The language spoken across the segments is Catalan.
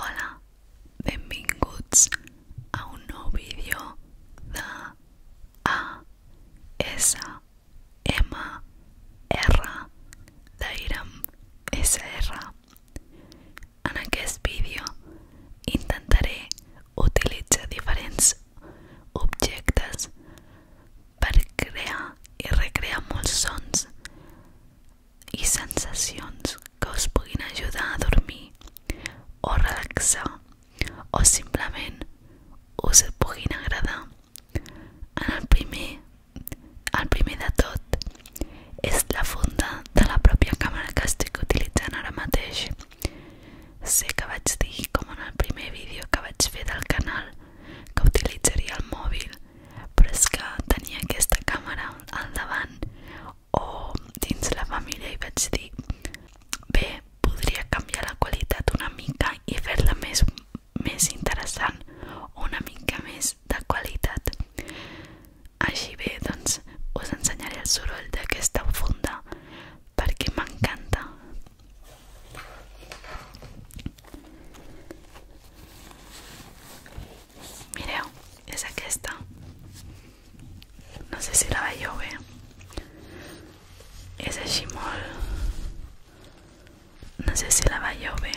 Hola, benvinguts a un nou vídeo de ASMR d'Airam SR. En aquest vídeo intentaré utilitzar diferents objectes per crear i recrear molts sons i sensacions que us puguin ajudar a dormir o relaxar o simplement us puguin agradar. En el primer, el primer de tot, és la funda de la pròpia càmera que estic utilitzant ara mateix. Sé que vaig dir, com en el primer vídeo que vaig fer del canal, que utilitzaria el mòbil però és que tenia aquesta càmera al davant o dins la família i vaig dir bé, podria canviar la qualitat una mica i fer-la més, més interessant o una mica més de qualitat així bé, doncs us ensenyaré el soroll d'aquesta funda perquè m'encanta esa que está, no sé si la va a llover. Ese no sé si la va a llover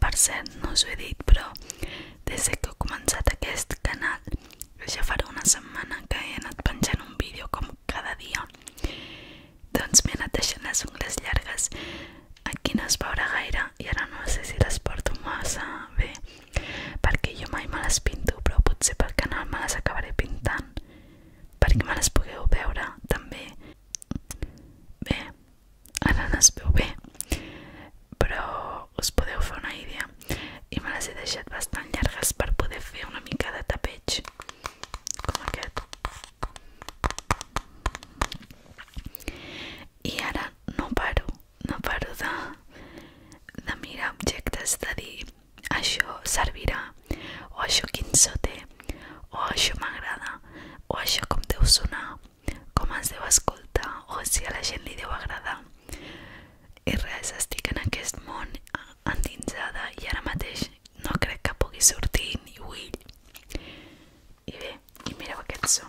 Per cert, no us ho he dit, però des que he començat aquest canal ja farà una setmana que he anat penjant un vídeo com cada dia doncs m'he anat deixant les ungles llargues aquí no es veurà gaire i ara no sé si les porto massa bé perquè jo mai me les pinto, però potser pel canal me les acabaré pintant. Perquè me les pugueu veure, també. Bé, ara no es veu bé, però us podeu fer una idea. I me les he deixat bastant llargues per poder fer una mica de tapeig, com aquest. I ara no paro no paro de, de mirar objectes, això servirà, o això quin so o això m'agrada, o això com deu sonar, com es deu escoltar, o si a la gent li deu agradar. I res, estic aquest món endinsada i ara mateix no crec que pugui sortir ni ull. I bé, i mireu aquest so.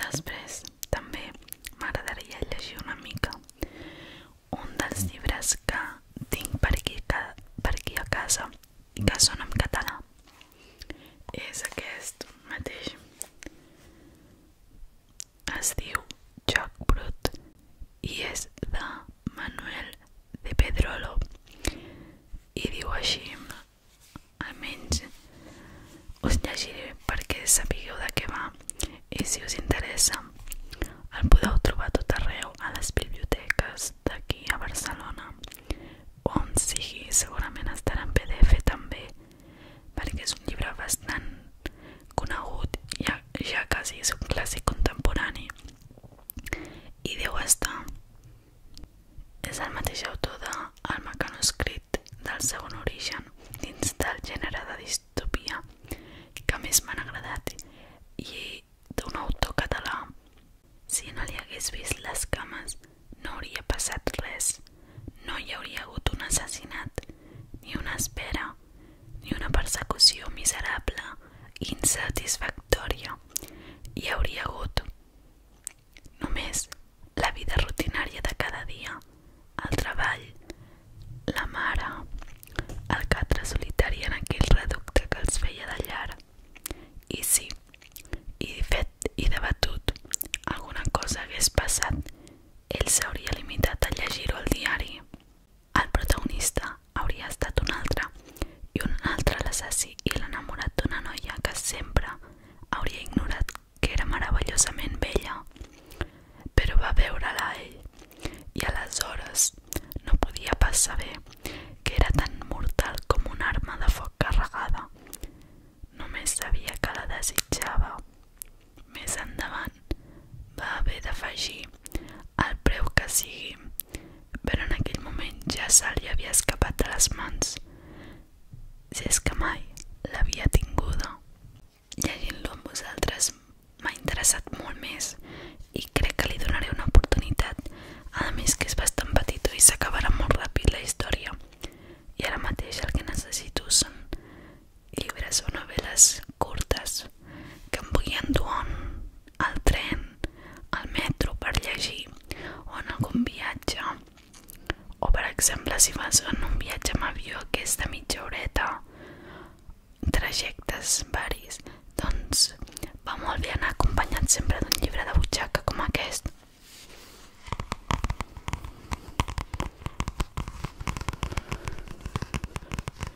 Després també m'agradaria llegir una mica un dels llibres que tinc per aquí, que, per aquí a casa i que són en català. És aquest mateix. Es diu Joc Brut i és de Manuel de Pedrolo i diu així almenys us llegiré perquè sapigueu de què va i si us interessa el podeu trobar tot arreu a les biblioteques d'aquí a Barcelona on sigui segurament estarà en pdf també perquè és un llibre bastant conegut ja, ja quasi és un clàssic contemporani i deu estar. És el mateix autor de El mecanoscrit del segon origen dins del gènere de distopia que més m'han agradat i d'un autor català. Si no li hagués vist les cames no hauria passat res. No hi hauria hagut un assassinat, ni una espera, ni una persecució miserable i insatisfactòria hi hauria hagut. Només la vida rutinària de cada dia, el treball, la mare, el catre solitari en aquell reducte que els feia de llar. I sí, i fet i debatut, alguna cosa hagués passat, ell s'hauria limitat a llegir-ho al diari. El protagonista hauria estat un altre, i un altre l'assassí i l'enamorat d'una noia que sempre hauria ignorat que era meravellosament vella. Però va veure-la ell, i aleshores no podia pas saber que era tan mortal com una arma de foc carregada. Només sabia que la desitjava. Més endavant va haver d'afegir al preu que sigui, en aquell moment ja se havia escapat de les mans, si és que mai l'havia tinguda. Llegint-lo amb vosaltres m'ha interessat molt més i crec que li donaré una oportunitat, a més que és bastant petitó i s'acabarà molt ràpid la història. I ara mateix el que necessito són llibres o novel·les curtes que em vull endur al tren, al metro per llegir o en algun viatge o per exemple si vas en un viatge amb avió que és de mitja horeta trajectes varis doncs va molt bé anar acompanyat sempre d'un llibre de butxaca com aquest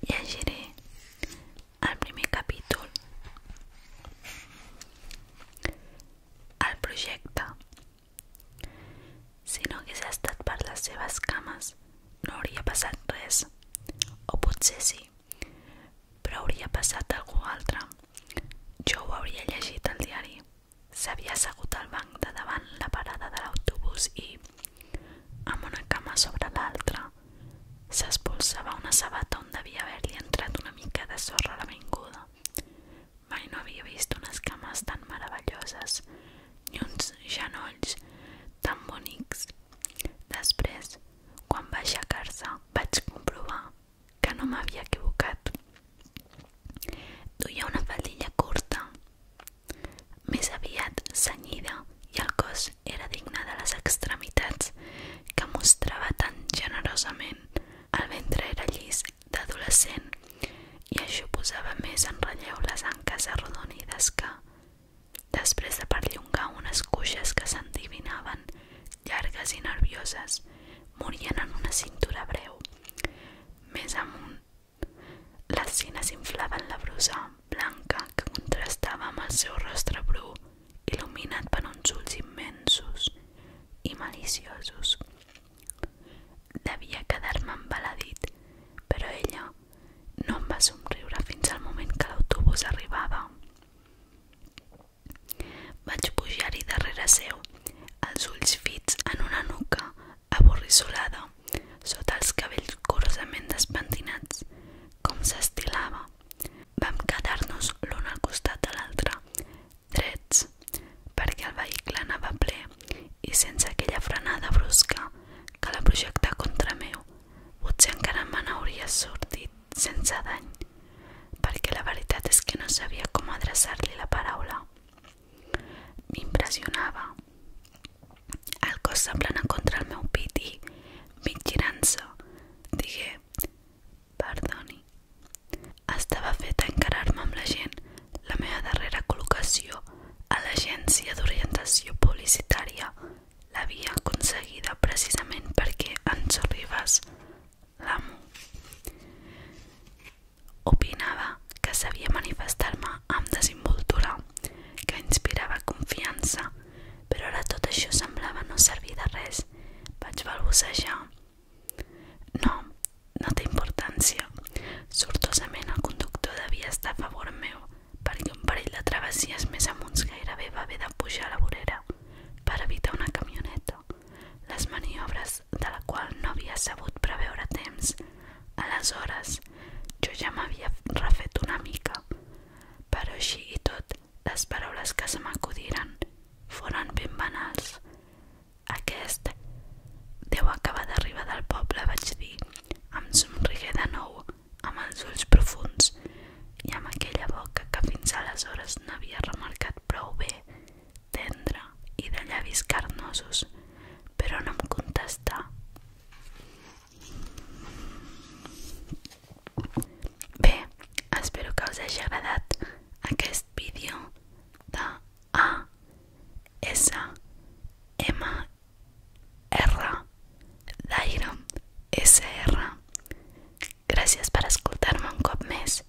Llegiré el primer capítol. El projecte. Si no hagués estat per les seves cames, no hauria passat res. O potser sí, però hauria passat algú altre. Jo ho hauria llegit al diari. S'havia assegut al banc de davant la parada de l'autobús i, amb una cama sobre l'altra, s'espolsava una sabata on devia haver-li entrat una mica de sorra a la l'avinguda. Mai no havia vist unes cames tan meravelloses ni uns genolls tan bonics. Després, quan va aixecar-se, vaig comprovar que no m'havia equivocat. Duia una faldilla curta, més aviat cenyida, i el cos era digne de les extremitats que mostrava tan generosament. El ventre era llis d'adolescent i això posava més en relleu les anques arrodonides que, després de perllongar unes cuixes que s'endivinaven llargues i nervioses, morien en una cintura breu. Més amunt, les cines inflaven la brusa blanca que contrastava amb el seu rostre bru, il·luminat per uns ulls immensos i maliciosos. Devia quedar-me embaladit, però ella no em va somriure fins al moment que l'autobús arribava. Vaig pujar-hi darrere seu, els ulls fits en una nuca avorrissolada, sota els cabells curosament despentinats, com s'estilava. Vam quedar-nos l'un al costat de l'altre, drets, perquè el vehicle anava ple i sense aquella frenada brusca que la projectà contra meu, potser encara me n'hauria sortit sense dany, perquè la veritat és que no sabia com adreçar-li la paraula. M'impressionava. El cos semblant contra el meu pit i, mig girant-se, digué «Perdoni». Estava feta a encarar-me amb la gent, la meva darrera col·locació a l'Agència d'Orientació Publicitària l'havia aconseguida precisament perquè en Sorribas, l'amo, Opinava que sabia manifestar-me amb desinvoltura, que inspirava confiança, però ara tot això semblava no servir de res. Vaig balbucejar. No, no té importància. Sortosament el conductor devia estar a favor meu, perquè un parell de travessies més amunt gairebé va haver de pujar a la vorera per evitar una camioneta. Les maniobres de la qual no havia sabut preveure temps. Aleshores, jo ja m'havia refet una mica, però així i tot, les paraules que se m'acudiren foren ben banals. Aquest deu acabar d'arribar del poble, vaig dir. amb somrigué de nou, amb els ulls profuns, i amb aquella boca que fins aleshores no havia remarcat prou bé tendre i de llavis carnosos, però no em contestà. Bé, espero que us hagi agradat aquest vídeo de A, S, M, R, d'aire, SR. Gràcies per escoltar-me un cop més.